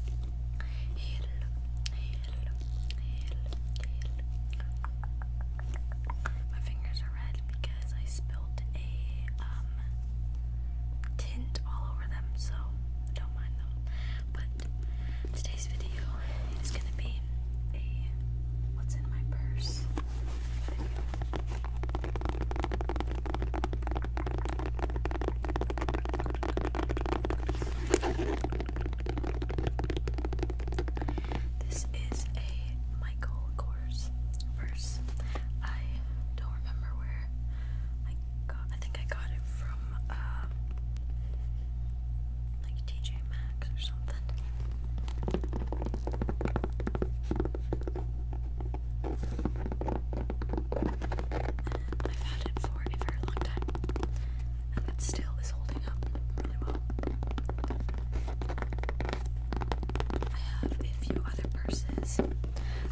My fingers are red because I spilled a um, tint all over them, so don't mind them. But today's video is gonna be a what's in my purse video. This is a Michael Kors verse. I don't remember where I got. I think I got it from uh, like TJ Maxx or something. I've had it for a very long time, and it still is holding up really well. I have a few other purses,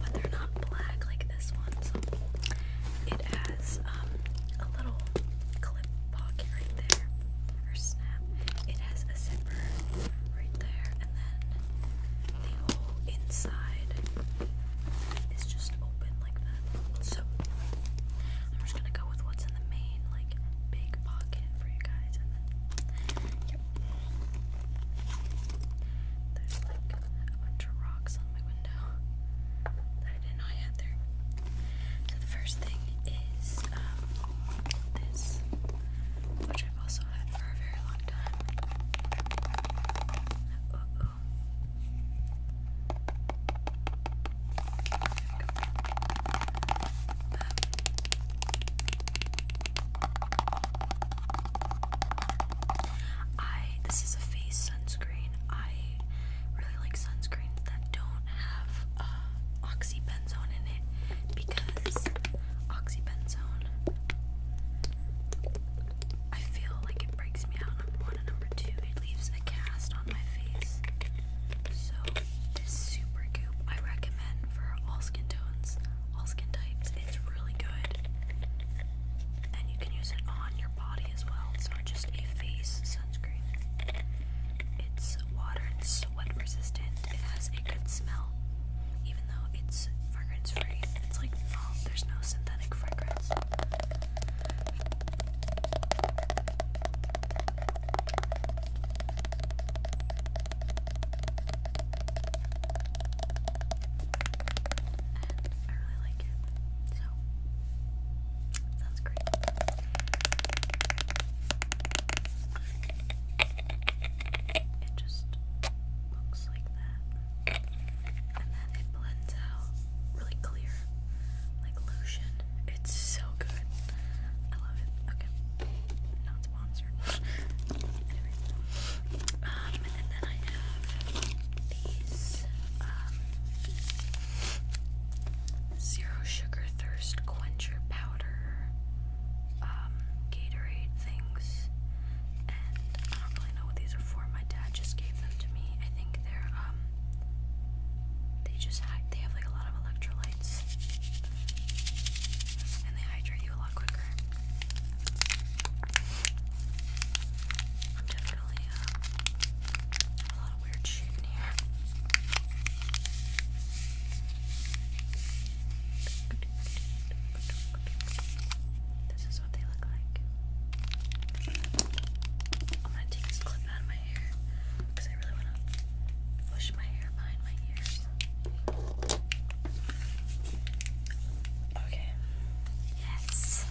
but they're not black like this one, so it has um, a little clip pocket right there, or snap. It has a zipper right there, and then the whole inside is just open like that. So I'm just gonna go with what's in the main like big pocket for you guys, and then yep. There's like a bunch of rocks on my window that I didn't know there. So the first thing is um, this, which I've also had for a very long time. I this is a face sunscreen. I really like sunscreens that don't have uh, oxybenzone in it because oxybenzone I feel like it breaks me out, number one and number two, it leaves a cast on my face. So this super goop I recommend for all skin tones, all skin types. It's really good. And you can use it on your body as well. It's just a face sunscreen. It's water and sweat resistant. It has a good smell. Even though it's fragrance free. It's like oh, there's no synthetic synthetic fragrance. I really like it. So sounds great. It just looks like that and then it blends out really clear, like lotion. It's so good. I love it. Okay, not sponsored. um, and then I have these um, zero sugar thirst quencher powder um Gatorade things. Uh, I don't really know what these are for. My dad just gave them to me. I think they're um they just hide they have like a lot of electrolytes. And they hydrate you a lot quicker. I'm definitely uh, a lot of weird shit in here. This is what they look like. I'm gonna take this clip out of my hair because I really wanna push my hair behind my ears. Okay. Yes.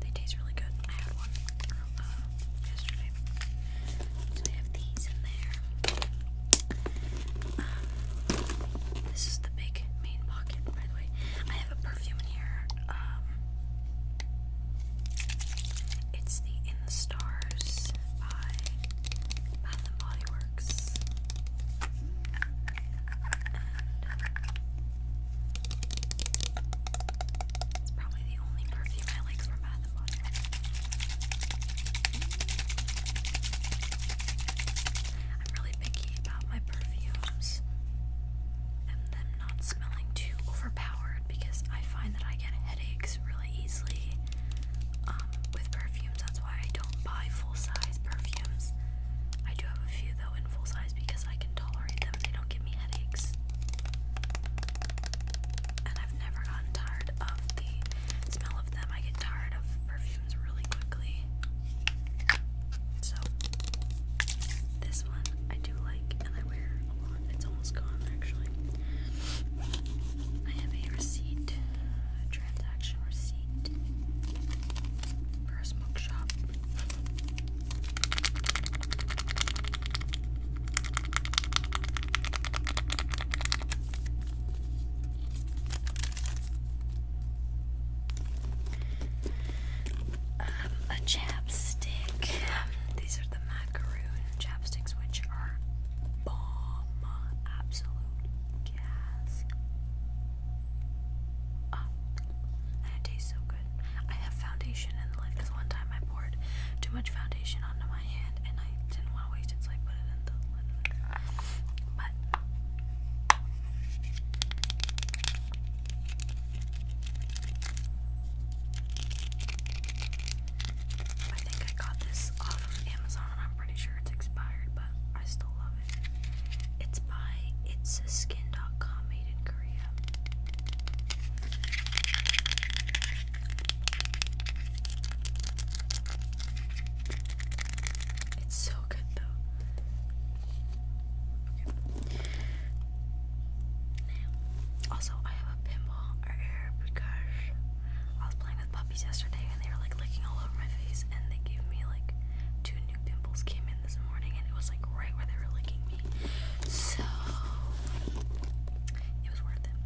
They taste really good yesterday. So I have these in there. Um, this is the big main pocket, by the way. I have a perfume in here. Um, it's the In the Stars by Bath and Body uh, Works. It's probably the only perfume I like from Bath and Body I'm really picky about my perfumes and them not smelling too overpowered because I find that I get headaches really easily um, with perfumes. That's why I don't buy full size perfumes. I do have a few though in full size because I can tolerate them. They don't give me headaches. And I've never gotten tired of the smell of them. I get tired of perfumes really quickly. So, this one I do like and I wear a lot. It's almost gone actually. I have a receipt, transaction receipt for a smoke shop um, a chapstick. These are the macaroon chapsticks, which are bomb, absolute gas. Oh, and it tastes so good. I have foundation in the lid because one time I poured too much foundation onto my hand and I didn't want to waste it, so I put it in the lid. But I think I got this off of Amazon. I'm pretty sure it's expired, but I still love it. It's by It's a Skin.com made It's so good though. Also, I have a pinball error because I was playing with puppies yesterday and they were like licking all over my face and they gave me like two new pimples came in this morning and it was like right where they were licking me. So it was worth it.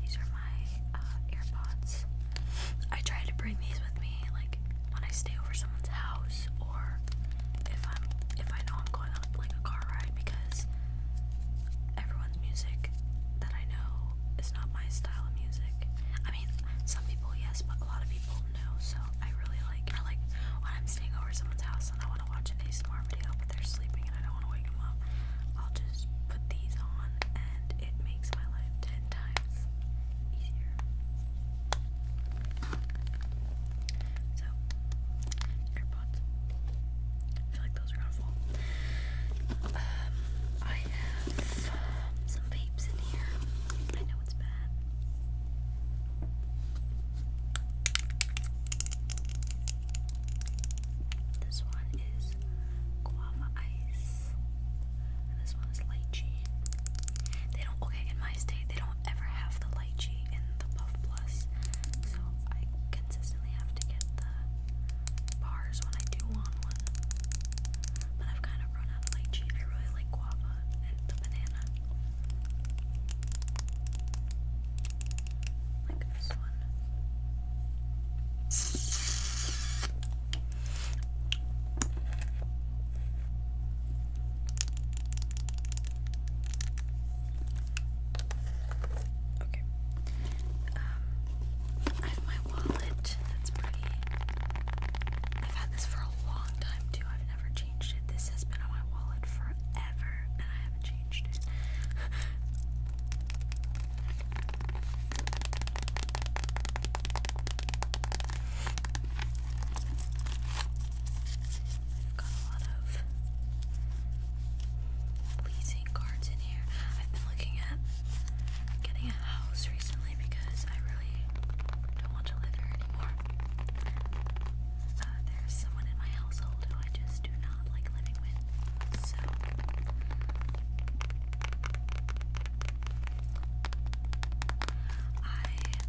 These are my uh, AirPods. I try to bring these with me like when I stay over someone's house or if I'm if I know I'm going on like a car ride because everyone's music that I know is not my style of music some people yes, but a lot of people no. So I really like, I like when I'm staying over someone's house and I want to watch an ASMR video, but they're sleeping and I don't want to wake them up. I'll just put these on, and it makes my life ten times easier. So AirPods, I feel like those are gonna fall. Um, I have um, some vapes in here. I know it's bad. This one is guava ice. this one is lychee. They don't okay in my state they don't ever have the lychee in the Puff Plus. So I consistently have to get the bars when I do want one. But I've kind of run not out I really like guava and the banana. Like this one. Okay. Um, wallet. That's pretty. I've had this for a long time too. I've never changed it. This has been on my wallet forever and I haven't changed it. I've got a lot of leasing cards in here. I've been looking at getting a house recently because I really don't want to live here anymore. Uh, there's someone in my household who I just do not like living with, so.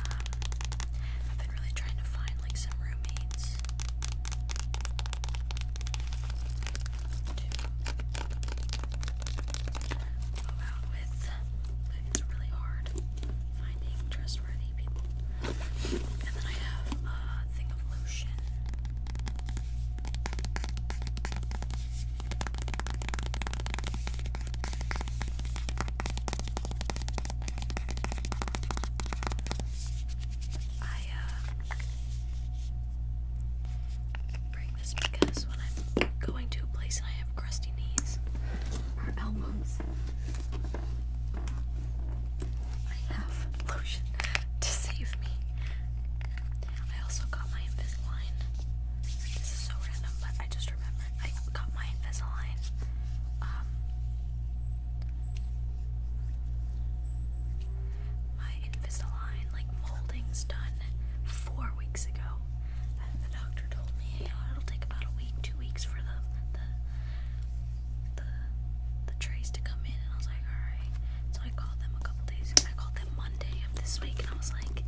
I've um, been really trying to find, like, some roommates to go with. it's really hard finding trustworthy people. And then I have a thing of lotion. I uh, bring this because when I'm going to a place and I have crusty knees or elbows, I have lotion to save me. I also got my Invisalign. This is so random, but I just remembered I got my Invisalign. Um, Invisalign like moldings done four weeks ago. And the doctor told me, it'll take about a week, two weeks for the the the trays to come in. And I was like, all right. So I called them a couple days. I called them Monday of this week, and I was like,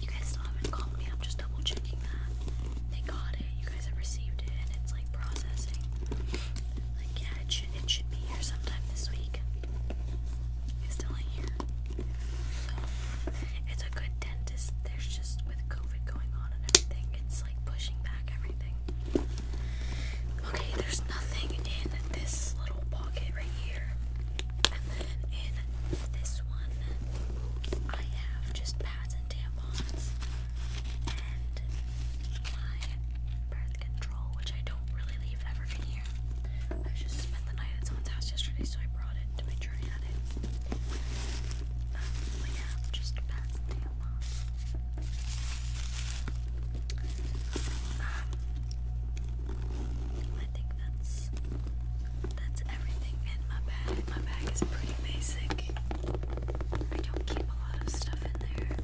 you guys still haven't called me. I'm just double checking that they got it. You guys have received it, and it's like processing. Like yeah, it should it should be here sometime this week is still in here. So it's a good dentist. There's just with COVID going on and everything, it's like pushing back everything. Okay, there's nothing in this little pocket right here. And then in this one, I have just pads and tampons and my birth control, which I don't really leave ever in I just spent the night at someone's house yesterday, so I brought it to make sure um, um, I think that's that's everything in my bag. My bag is pretty basic. I don't keep a lot of stuff in there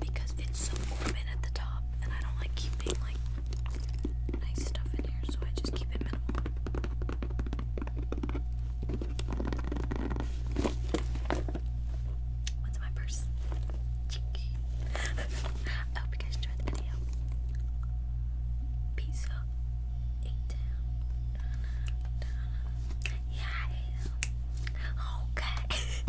because it's so open at the top and I don't like keeping like nice stuff in here, so I just keep it minimal. What's in my purse? I hope you guys enjoyed the video. Peace out. Yeah. Okay.